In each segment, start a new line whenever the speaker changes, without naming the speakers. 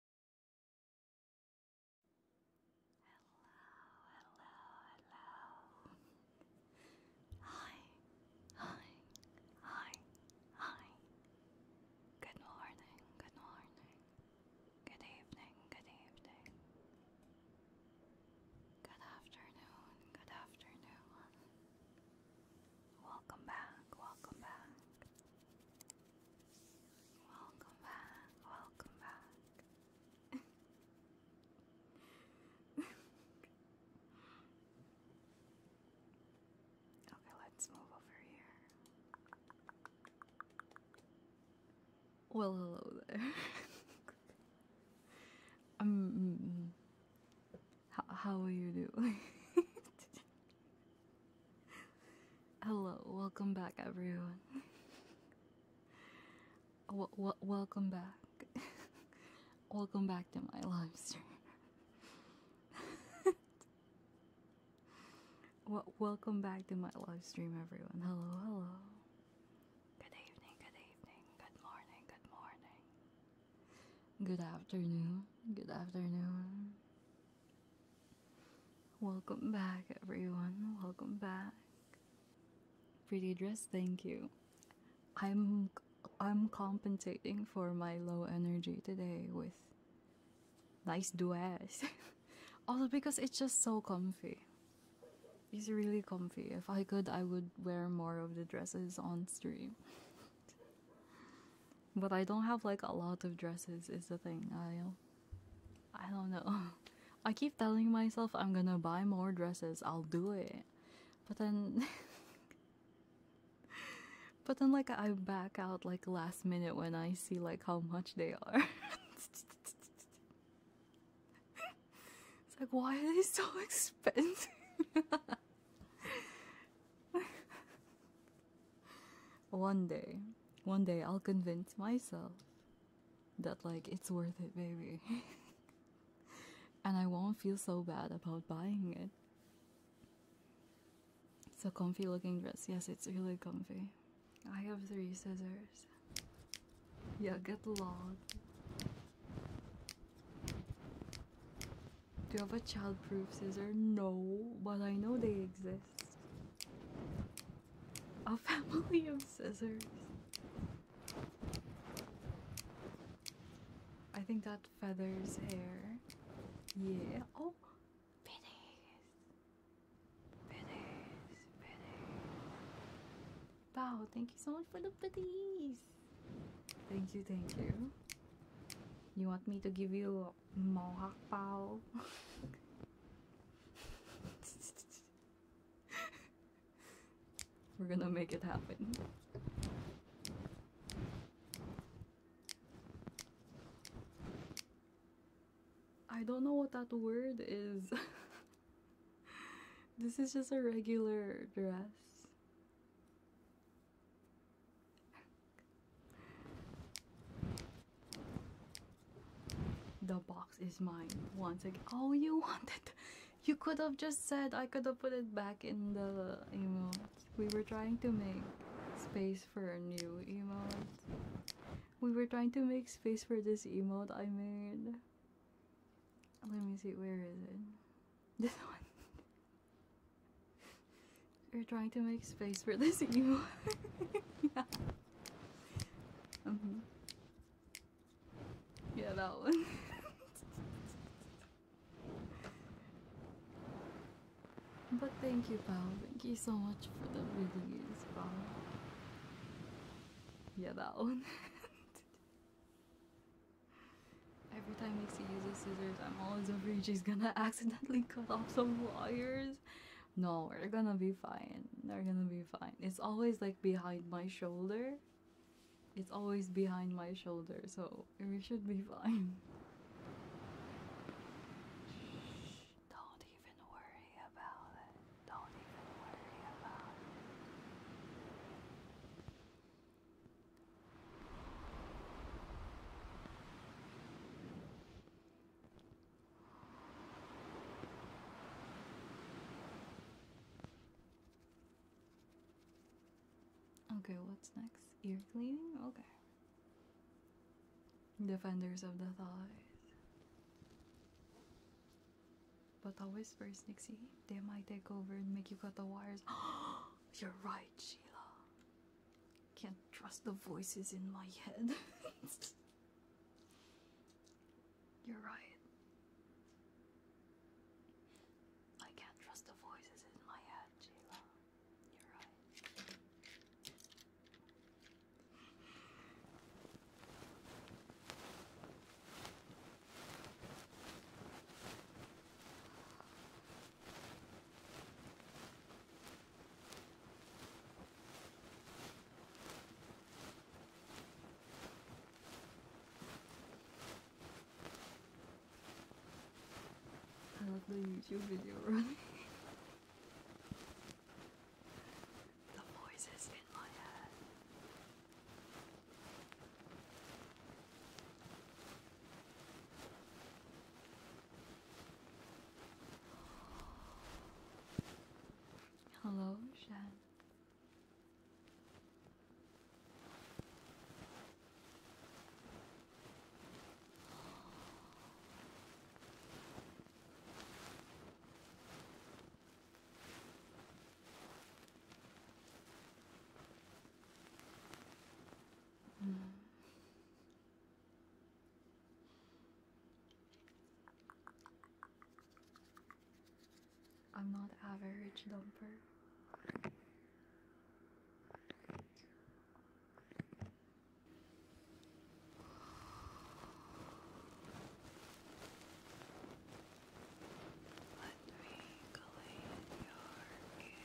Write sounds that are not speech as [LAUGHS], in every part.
hello, hello. Hi, hi, hi, hi. Good morning, good morning. Good evening, good evening. Good afternoon, good afternoon. Welcome back, welcome back. Welcome back, welcome back. [LAUGHS] okay, let's move over here.
Well, hello there. [LAUGHS] um, mm, mm. how, how are you doing? [LAUGHS] Hello, welcome back, everyone. welcome back. [LAUGHS] welcome back to my live stream. [LAUGHS] welcome back to my live stream, everyone. Hello, hello. Good evening, good evening, good morning, good morning. Good afternoon, good afternoon. Welcome back, everyone. Welcome back. Pretty dress, thank you. I'm I'm compensating for my low energy today with nice dress. [LAUGHS] also because it's just so comfy. It's really comfy. If I could, I would wear more of the dresses on stream. [LAUGHS] but I don't have like a lot of dresses is the thing. I I don't know. [LAUGHS] I keep telling myself I'm gonna buy more dresses, I'll do it. But then. [LAUGHS] but then, like, I back out, like, last minute when I see, like, how much they are. [LAUGHS] it's like, why are they so expensive? one day, one day I'll convince myself that, like, it's worth it, baby. [LAUGHS] and I won't feel so bad about buying it. It's a comfy looking dress. Yes, it's really comfy. I have three scissors. Yeah, get logged. Do you have a childproof scissors? No, but I know they exist. A family of scissors. I think that feathers hair. Yeah. Oh, pennies. Pennies. Pennies. Wow, thank you so much for the pennies. Thank you, thank you. You want me to give you we are gonna make it happen. I don't know what that word is. [LAUGHS] this is just a regular dress. The box is mine once again. Oh, you [LAUGHS] wanted. You could have just said I could have put it back in the email. We were trying to make space for a new emote. We were trying to make space for this emote I made. Let me see, where is it? [LAUGHS] This one we are trying to make space for this [LAUGHS] anymore. Mm-hmm. yeah. that one. [LAUGHS] but thank you, pal. Thank you so much for the videos, pal. Yeah, that one. [LAUGHS] Every time Nixie uses scissors, I'm always afraid she's gonna accidentally cut off some wires no, we're gonna be fine. They're gonna be fine. It's always like behind my shoulder. It's always behind my shoulder, so we should be fine. Okay, what's next? Ear cleaning? Okay. Defenders of the thighs. But the whispers, Nixie, they might take over and make you cut the wires. [GASPS] You're right, Sheila. Can't trust the voices in my head. [LAUGHS]
You're right. I can't trust the voices in my head, Jayla. You're right.
I love the YouTube video running.
the voices in my head.
Hello, Shan. Mm. I'm not average dumper. Let me clean your ear.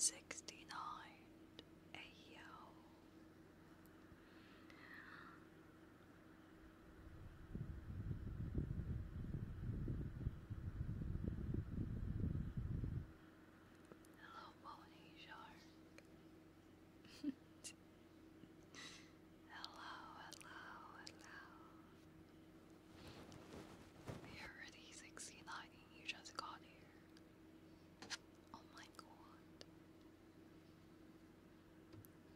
Sixty nine, ayo. Hello, Pony [LAUGHS] hello, hello, hello. You're already 69 you just got here. Oh my god.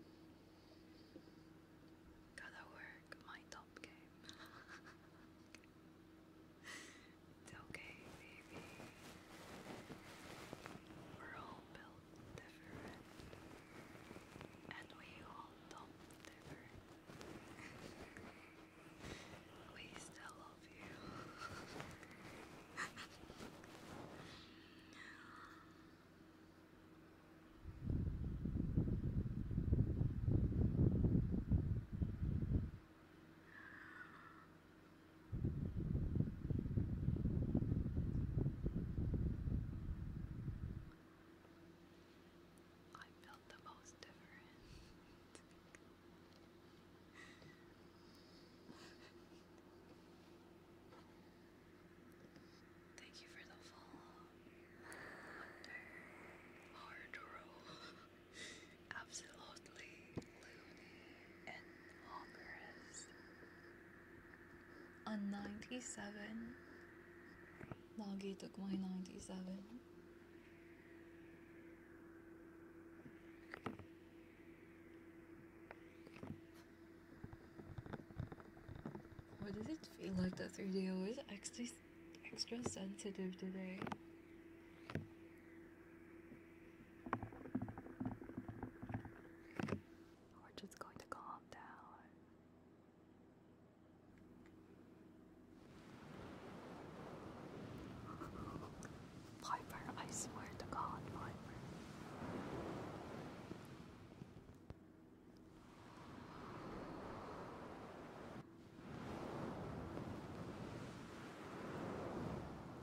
[LAUGHS] Gotta work my top game. [LAUGHS] It's okay, baby. We're all built different. And we all don't different. [LAUGHS] we still love you. [LAUGHS] I felt the most different. [LAUGHS] Thank you for the follow. hard roll absolutely loony and
honkerous. On 97, Nagi took my 97. What does it feel like that video is extra, extra sensitive today?
We're just going to calm down. [LAUGHS] Piper, I swear to God, Piper.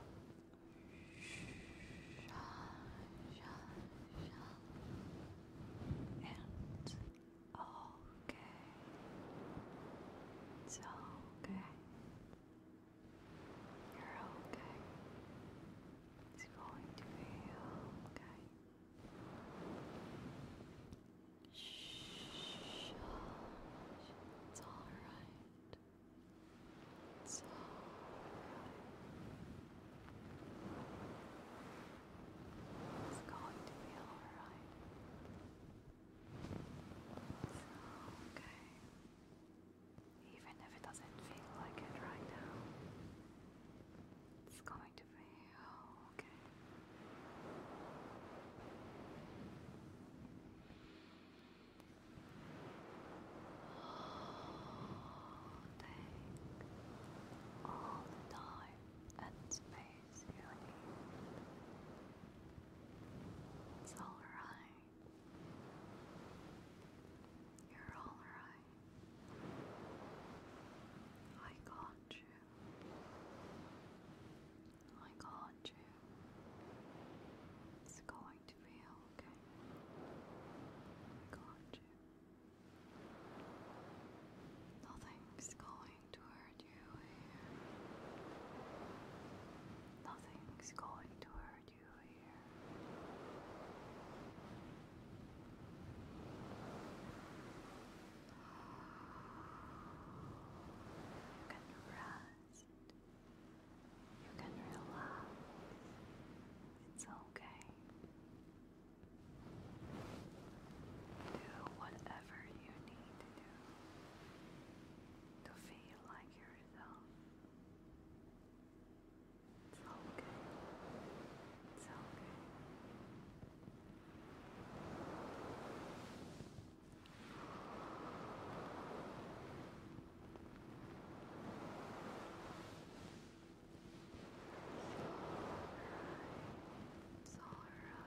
It's okay. It's okay. You're okay. It's going to be okay. Shh. It's alright. It's all right. going to be all right. It's okay. Even if it doesn't feel like it right now, it's going to be okay. Take all the and space It's alright. You're alright. I got you. I can you. It's going to be okay. I can you. Nothing's going to hurt you here. Nothing's going to hurt you here. You can rest. You can relax. It's okay. Do whatever you need to do to feel like yourself. It's okay. It's okay. It's all right. You're all right.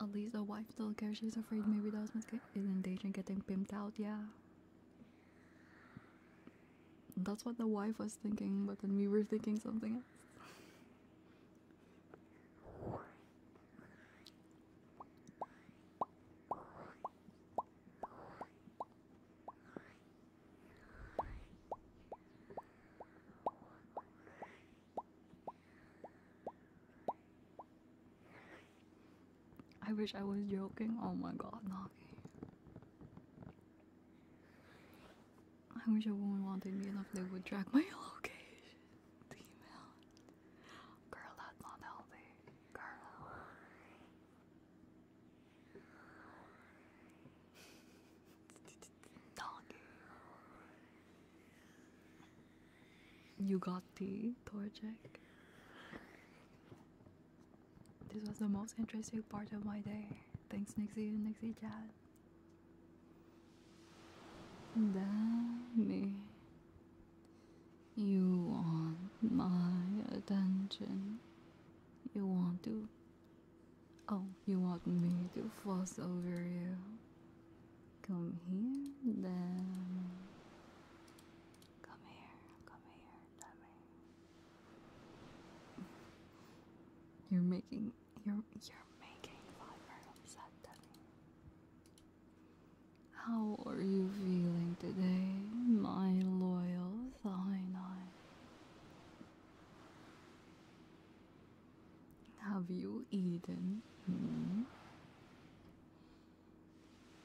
At least the wife still cares. She's afraid maybe the husband is engaged and getting pimped out. Yeah. That's what the wife was thinking, but then we were thinking something else. I wish I was joking. Oh my god, Nagi. I wish a woman wanted me enough they would track my [LAUGHS] location. Email. Girl, that's not healthy. Girl. Doggy. You got the Torchic. This was the most interesting part of my day. Thanks, Nixie Nixie Chat. Damn me. You want my attention. You want to. Oh, you want me to fuss over you. Come here, then come here, come here, dummy. You're making you're you're making five upset, dummy. How are you feeling today, my loyal thine? eye? Have you eaten?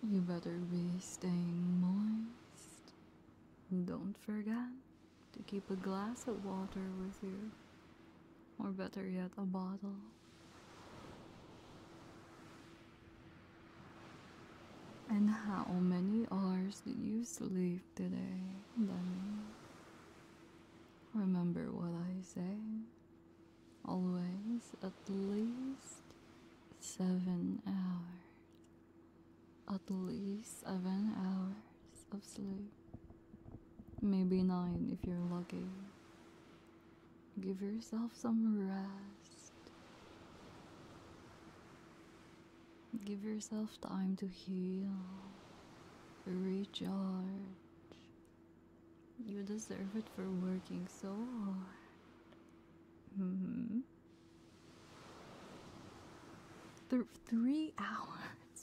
You better be staying moist. Don't forget to keep a glass of water with you, or better yet, a bottle. And how many hours did you sleep today, Danny? Remember what I say always at least seven hours. At least seven hours of sleep. Maybe nine if you're lucky. Give yourself some rest. Give yourself time to heal, recharge, you deserve it for working so hard. Mm hmm.
Th three hours.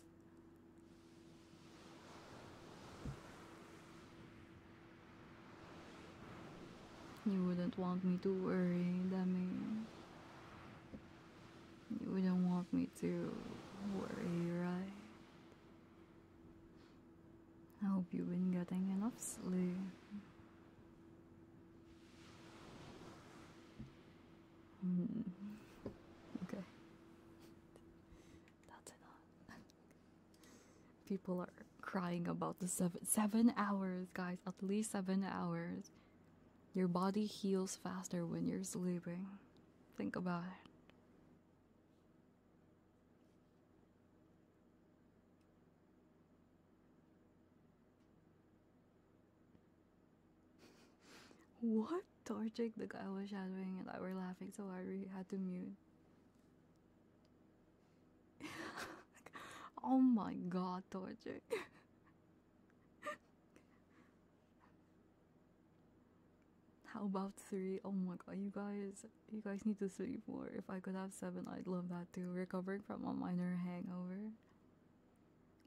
You wouldn't want me to worry, Demi. You wouldn't want me to worry, right? I hope you've been getting enough sleep. Okay. That's enough. [LAUGHS] People are crying about the seven hours, guys. At least seven hours. Your body heals faster when you're sleeping. Think about it what? Torchic, the guy was shadowing and I were laughing so I really had to mute. [LAUGHS] oh my god, Torchic. [LAUGHS] How about three? Oh my god, you guys, you guys need to sleep more. If I could have seven, I'd love that too. Recovering from a minor hangover.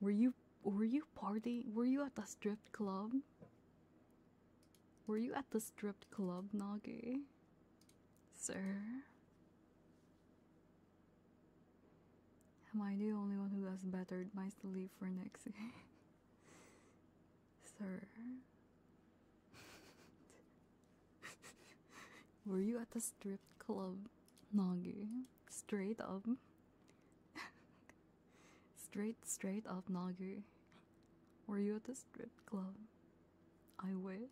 Were you were you party? Were you at the strip club? Were you at the strip club, Nagi? Sir? Am I the only one who has bettered my sleep for next [LAUGHS] Sir. Were you at the strip club, Nagu? Straight up. straight, straight up, Nagu. Were you at the strip club? I wish.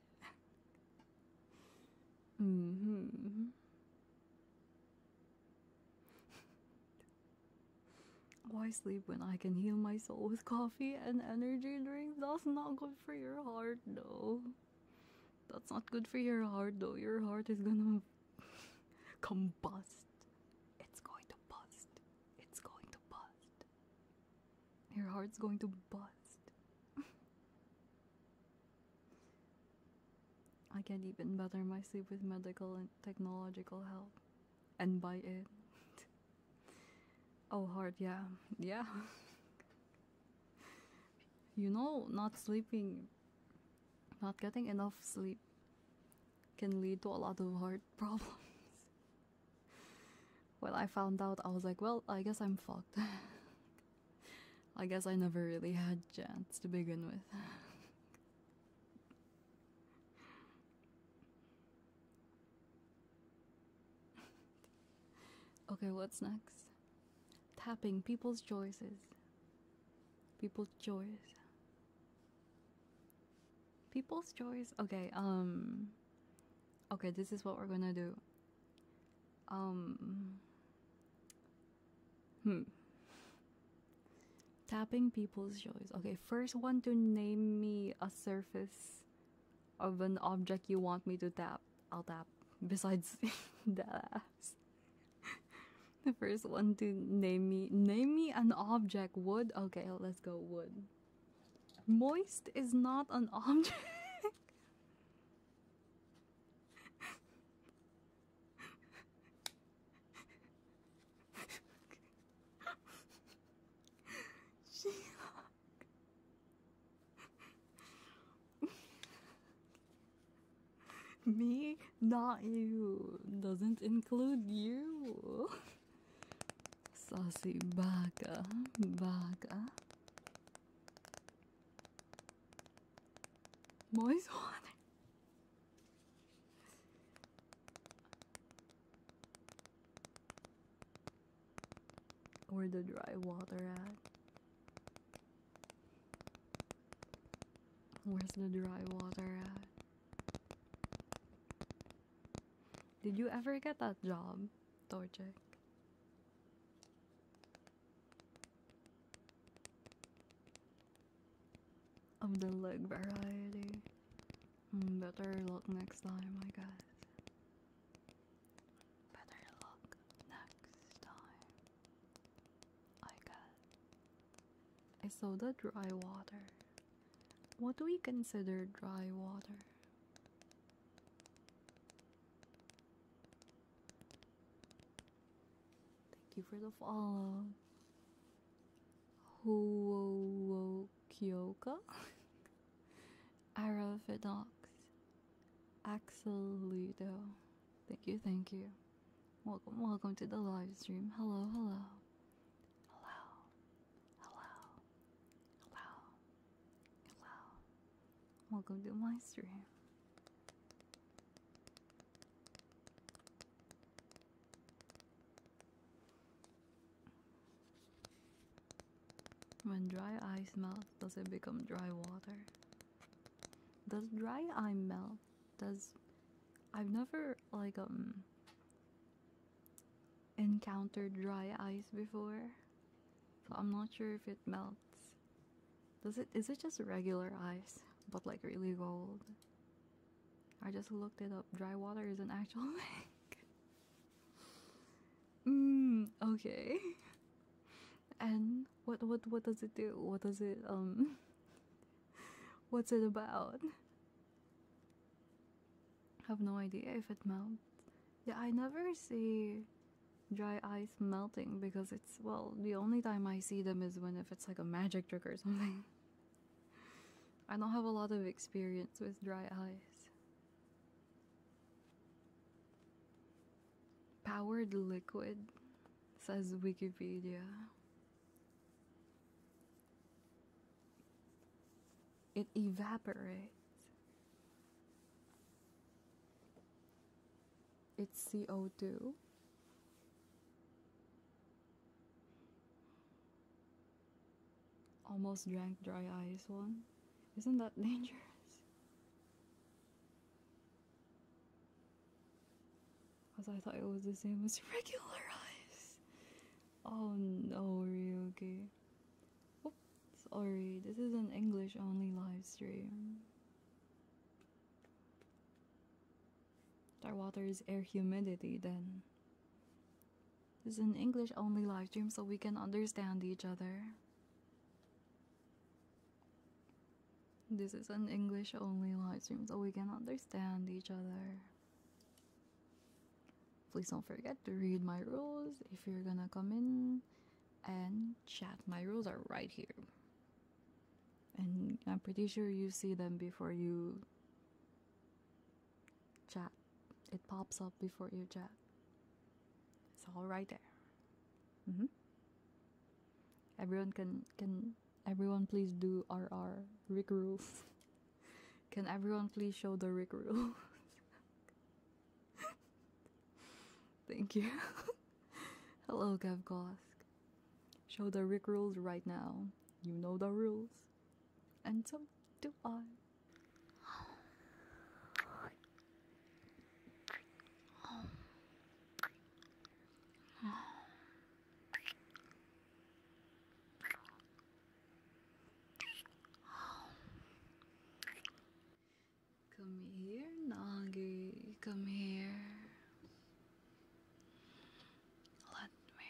hmm. Why sleep when I can heal my soul with coffee and energy drinks? That's not good for your heart, though. That's not good for your heart, though. Your heart is gonna [LAUGHS] combust. It's going to bust. It's going to bust. Your heart's going to bust. [LAUGHS] I can't even better my sleep with medical and technological help. And buy it, [LAUGHS] Oh, heart, yeah, yeah. you know, not sleeping, not getting enough sleep can lead to a lot of heart [LAUGHS] problems. when I found out, I was like, well, I guess I'm fucked. [LAUGHS] I guess I never really had chance to begin with. [LAUGHS] [LAUGHS] okay, what's next? Tapping people's choices. People's choice. People's choice. Okay, um Okay, this is what we're going to do. Um Hmm. Tapping people's choice. Okay, first one to name me a surface of an object you want me to tap, I'll tap. Besides [LAUGHS] the [LAUGHS] the first one to name me name me an object wood. Okay, let's go wood. Moist is not an [LAUGHS] object. She-Hulk. Me, not you. Doesn't include you. Saucy baka, baka. Moist water. Where the dry water at? Where's the dry water at? Did you ever get that job, Torchic? Of the leg variety. Hmm, better luck next time, I guess. Better luck next time, I guess. I saw the dry water. What do we consider dry water? Thank you for the follow. Whoa, whoa, Kyoka? [LAUGHS] Arrow for Dogs, Axel Ludo. Thank you, thank you. Welcome, welcome to the live stream. hello. Hello, hello, hello, hello. Welcome to my stream. When dry ice melts, does it become dry water? Does dry ice melt? Does I've never like um encountered dry ice before. So I'm not sure if it melts. Does it is it just regular ice but like really cold? I just looked it up. Dry water is not actual [LAUGHS] thing mm, okay [LAUGHS] and what what what does it do what does it um [LAUGHS] what's it about I have no idea if it melts yeah i never see dry ice melting because it's well the only time i see them is when if it's like a magic trick or [LAUGHS] something i don't have a lot of experience with dry ice Powered liquid, says Wikipedia. It evaporates. It's CO2. Almost drank dry ice one. Isn't that [LAUGHS] dangerous? Because I thought it was the same as [LAUGHS] regular ice. Oh no, Ryuki. Oops, sorry, this is an English only live stream. That water is air humidity then. This is an English only live stream so we can understand each other. This is an English only live stream so we can understand each other. Please don't forget to read my rules if you're gonna come in and chat. My rules are right here. And I'm pretty sure you see them before you chat it pops up before you jet. It's all right there. Mm-hmm. Everyone can can everyone please do RR rig rules. [LAUGHS] can everyone please show the rig rules? [LAUGHS] Thank you. [LAUGHS] Hello, Gavgosk. Show the rig rules right now. You know the rules. And so do I. Come here, Nagi.
Come here. Let me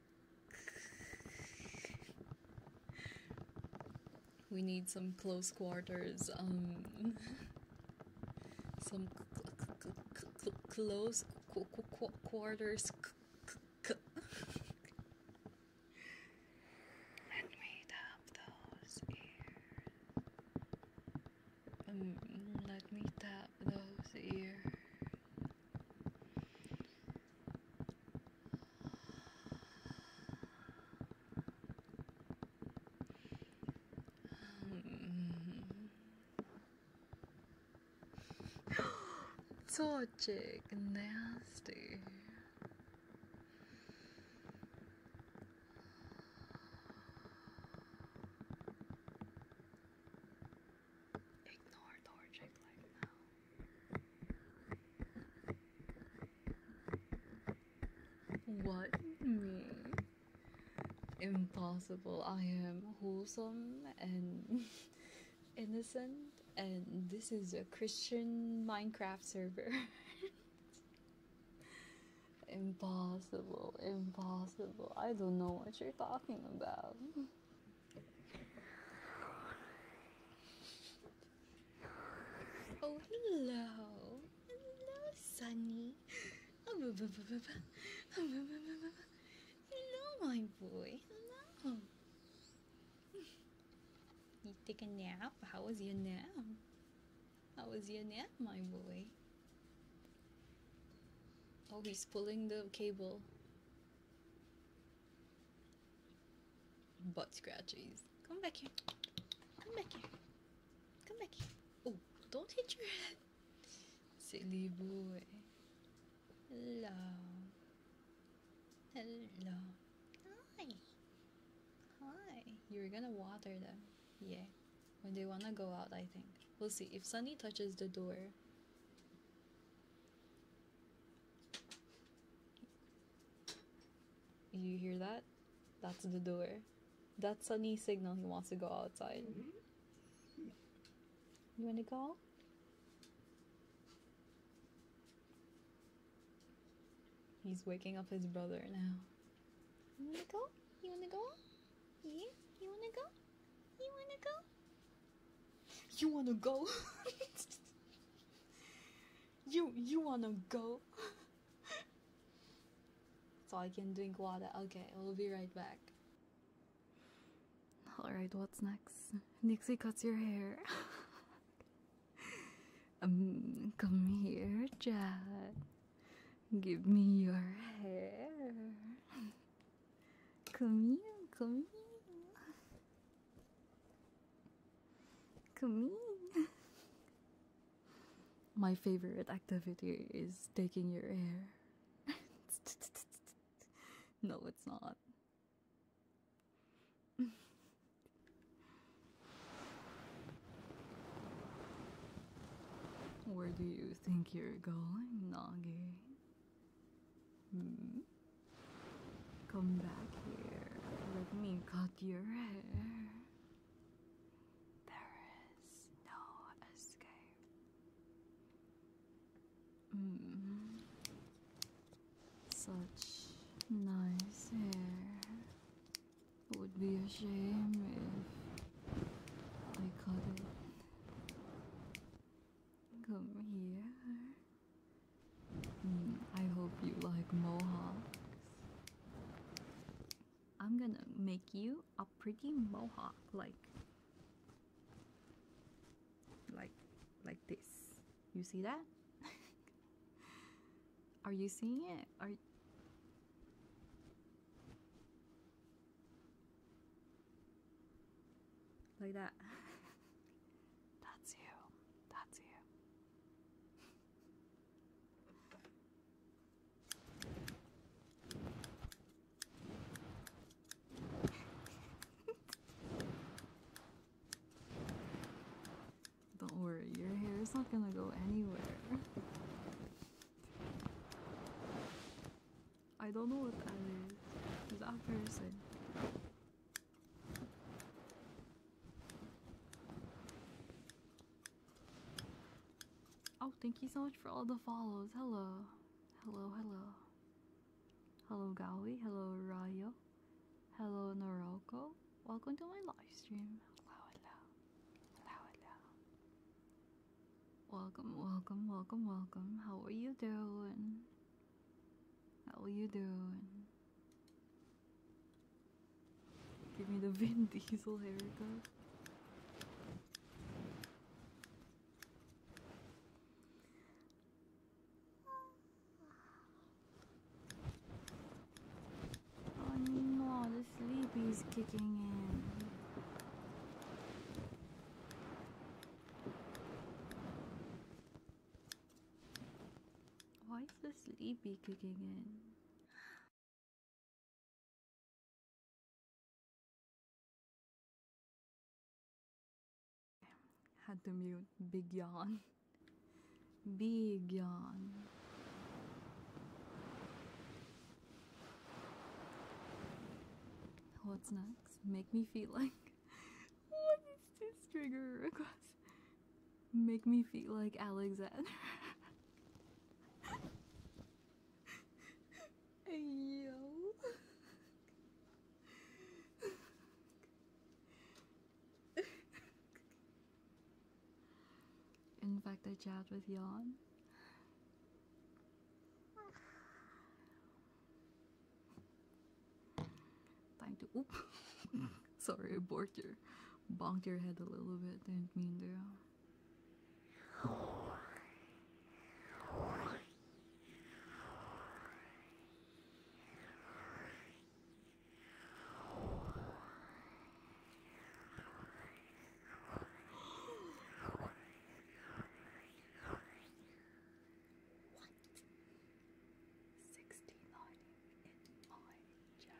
we need some close quarters, um, some close quarters. Let me tap those ears. Um, let me tap those ears. Torchic, nasty. Ignore Torchic like now. What me? Impossible. I am wholesome and [LAUGHS] innocent, and this is a Christian Minecraft server. [LAUGHS] impossible, impossible. I don't know what you're talking about. Oh, hello. Hello, Sunny. Hello, my boy. Hello. You take a nap? How was your nap? How was your nap, my boy? Oh, he's pulling the cable. Butt scratchies. Come back here. Come back here. Come back here. Oh, don't hit your head. Silly boy. Hello. Hello.
Hi. Hi.
You're gonna water them. Yeah. When they wanna go out, I think. We'll see. If Sunny touches the door, you hear that? That's the door. That's a new signal he wants to go outside. You wanna go? He's waking up his brother now.
You wanna go? You wanna go? Yeah, you wanna go?
You wanna go? You wanna go? [LAUGHS] you you wanna go? so I can drink water. Okay, we'll be right back. Alright, what's next? Nixie cuts your hair. [LAUGHS] um, come here, Jack. Give me your hair. Come here, come here. Come here. My favorite activity is taking your hair. [LAUGHS] no, it's not. [LAUGHS] Where do you think you're going, Nagi? Hmm. Come back here. Let me cut your hair. There is no escape. Hmm. Such nice hair. It would be a shame if I cut it. Come here. Hmm, I hope you like mohawks. I'm gonna make you a pretty mohawk, like, like, like this. You see that? [LAUGHS] Are you seeing it? Are like that. [LAUGHS]
That's you. That's you.
[LAUGHS] Don't worry, your hair is not gonna go anywhere. I don't know what that is. is. that a person? Oh, thank you so much for all the follows. Hello. Hello, hello. Hello, Gali, Hello, Rayo. Hello, Noroko. Welcome to my live stream. Welcome, welcome, welcome, welcome. How are you doing? How are you doing? Give me the [LAUGHS] Vin Diesel haircut. Oh no, the sleepy's kicking in. Why is the
sleepy kicking in? Had to
mute. Big yawn. [LAUGHS] Big yawn. What's next? make me feel like [LAUGHS] what is this trigger Make me feel like Alexander.
[LAUGHS] Yo.
In fact, I jabbed with yawn. Time to oop. Sorry, I bonked your, bonked your head a little bit. Didn't mean to. What? 60 lighting in my channel.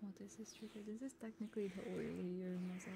Well, this is triggered. This is technically the oilier muzzle.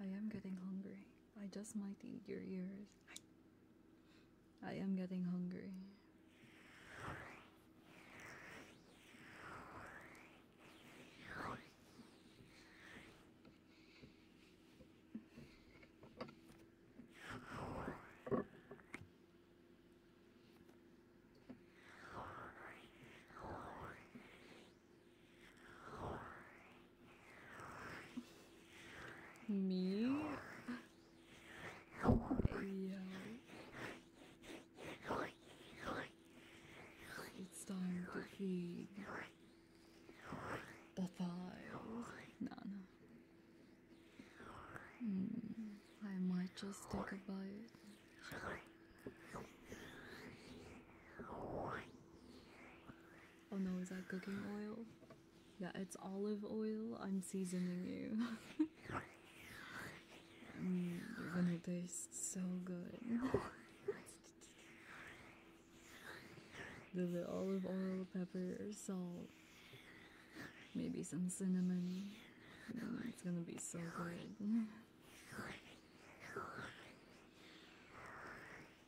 I am getting hungry. I just might eat your ears. I am getting hungry. Me? Yo. It's time to feed the thighs. No, no. Hmm, I might just take a bite. Oh no, is that cooking oil? Yeah, it's olive oil. I'm seasoning you. [LAUGHS] mm, you're gonna taste so good. the olive oil, pepper, salt, maybe some cinnamon. Mm, it's gonna be so good.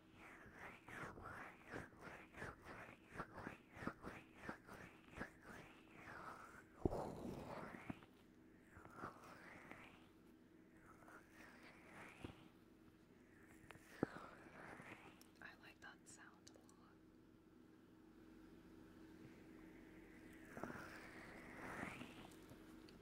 I like that sound a lot. I like that sound.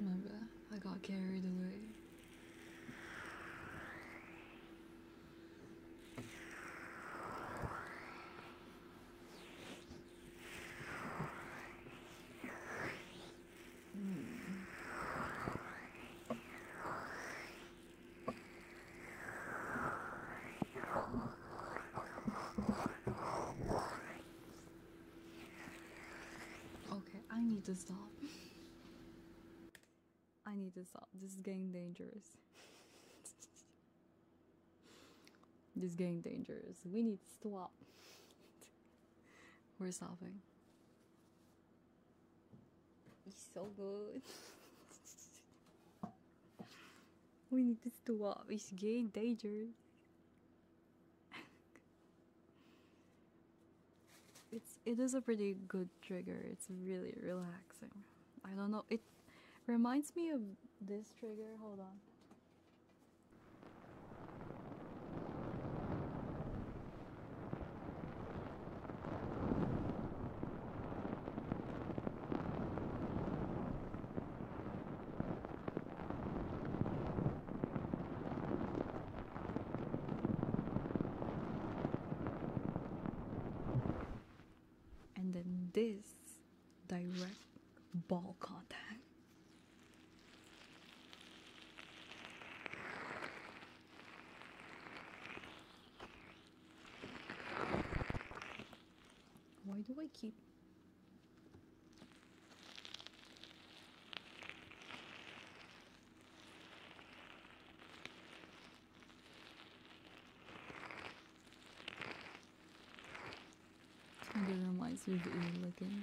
Remember, I got carried away. Okay, I need to stop. I need to stop. This is getting dangerous. [LAUGHS] this is getting dangerous. We need to stop. [LAUGHS] We're stopping. It's so good. we need to stop. It's getting dangerous. it's it is a pretty good trigger. It's really relaxing. I don't know. It reminds me of this trigger. Hold on and then this direct ball contact why do I keep I don't know looking.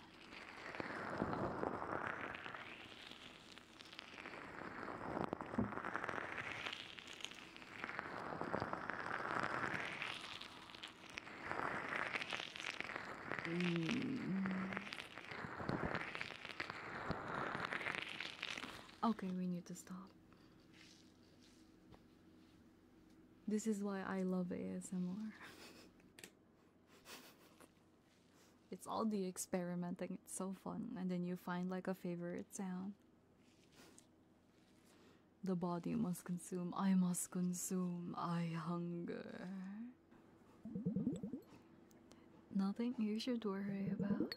Okay, we need to stop. This is why I love ASMR. [LAUGHS] it's all the experimenting, it's so fun, and then you find like a favorite sound. The body must consume, I must consume, I hunger. Nothing you should worry about.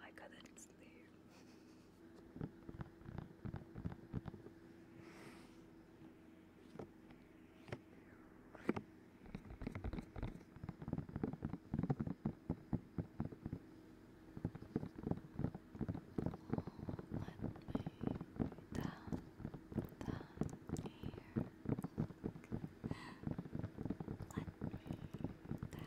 I couldn't sleep. let me down, down here. Let me down.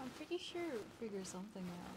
I'm pretty sure it figures something out.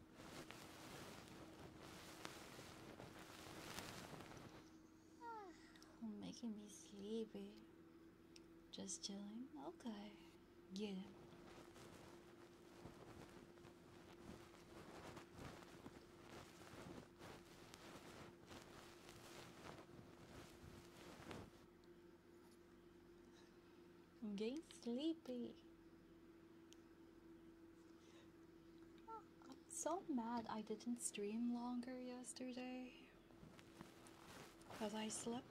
[SIGHS] Oh, making me sleepy. Just chilling? Okay. Yeah. getting sleepy. I'm so mad I didn't stream longer yesterday. Because I slept.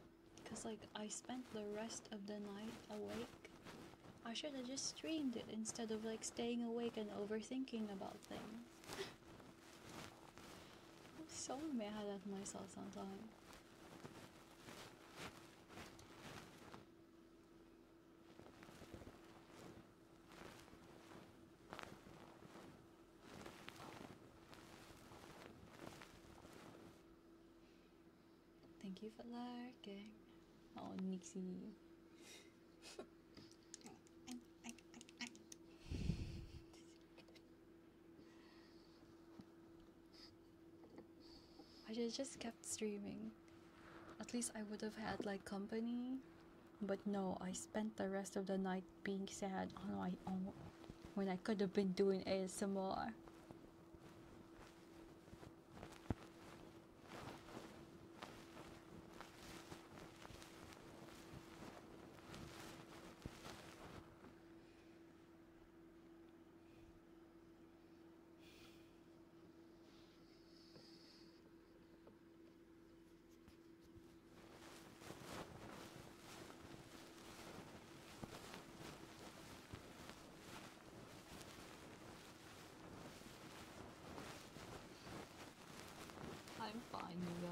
Because, like, I spent the rest of the night awake. I should have just streamed it instead of, like, staying awake and overthinking about things. [LAUGHS] I'm so mad at myself sometimes. Thank you for liking. Oh, Nixie. I should just streaming. At least I would have had like company. But no, I spent the rest of the night being sad on my own when I could have been doing ASMR. I'm fine, you guys.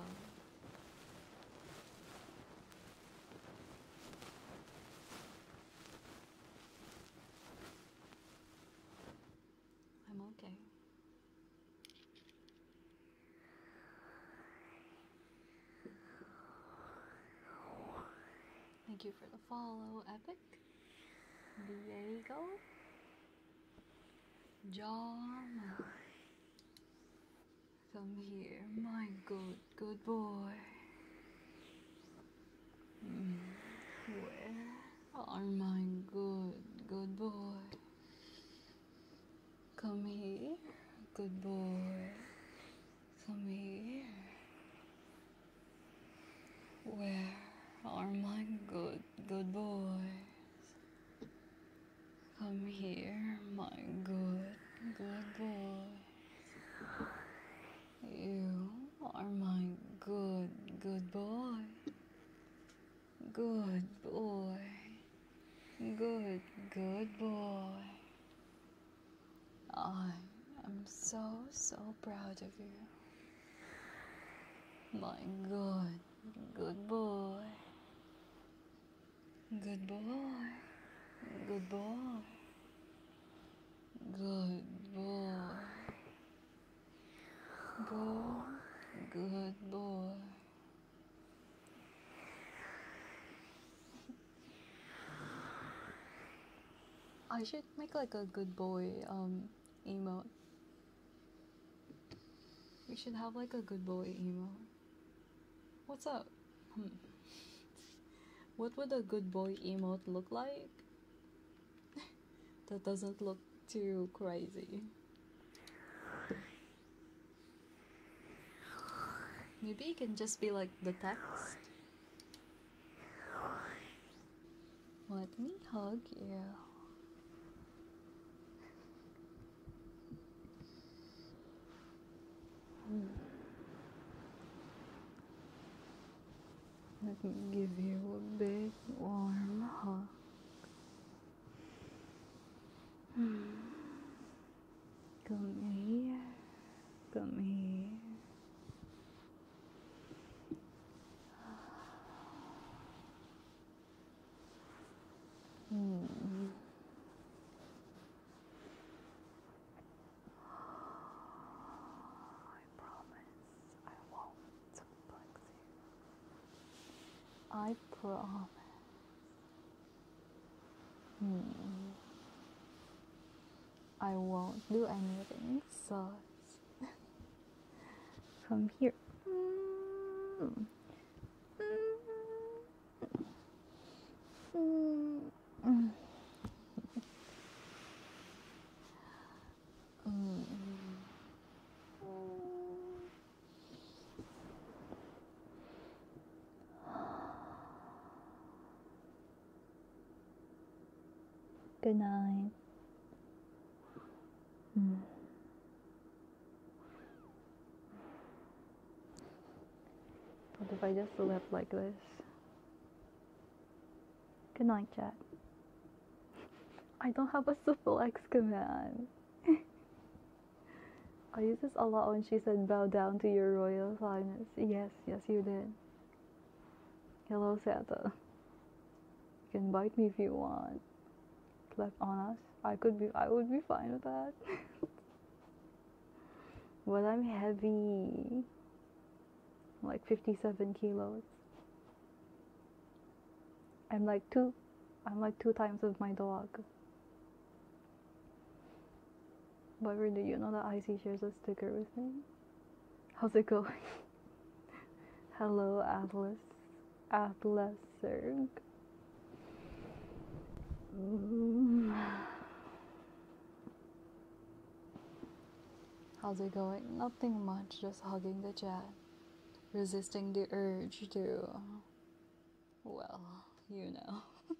I'm okay. Thank you for the follow, Epic. Diego. John. Come here, my good, good boy. Mm-hmm. Where are my good, good boy? Come here, good boy. Come here. Where are my good, good boys? Come here, my good, good boy. You are my good, good boy. Good boy. Good, good boy. I am so, so proud of you. My good, good boy. Good boy. Good boy. Good boy. Go, good boy. I should make like a good boy um emote. We should have like a good boy emote. What's up? Hmm. [LAUGHS] What would a good boy emote look like? [LAUGHS] that doesn't look too crazy. Maybe it can just be like the text. Let me hug you. Hmm. Let me give you a big warm hug. [SIGHS] Come here, come here. [SIGHS] I promise I won't I promise. Hmm. I won't do anything So come [LAUGHS] here.
Hmm. Hmm. うん。
Good night. うん。What hmm. if I just slept like this? Good night, Jack. I don't have a suplex command. [LAUGHS] I used this a lot when she said, Bow down to your royal highness. Yes, yes, you did. Hello, Santa. You can bite me if you want. Clap on us. I could be, I would be fine with that. [LAUGHS] but I'm heavy. Like 57 kilos. I'm like two, I'm like two times of my dog. However, do you know that Icy shares a sticker with me? How's it going? [LAUGHS] Hello, Atlas. Atlas sir. Mm. How's it going? Nothing much, just hugging the chat. Resisting the urge to. Well, you know. [LAUGHS]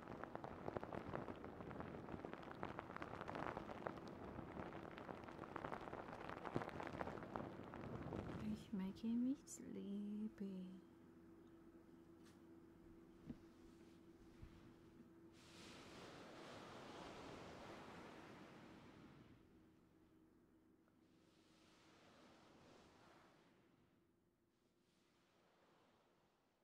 It's making me sleepy.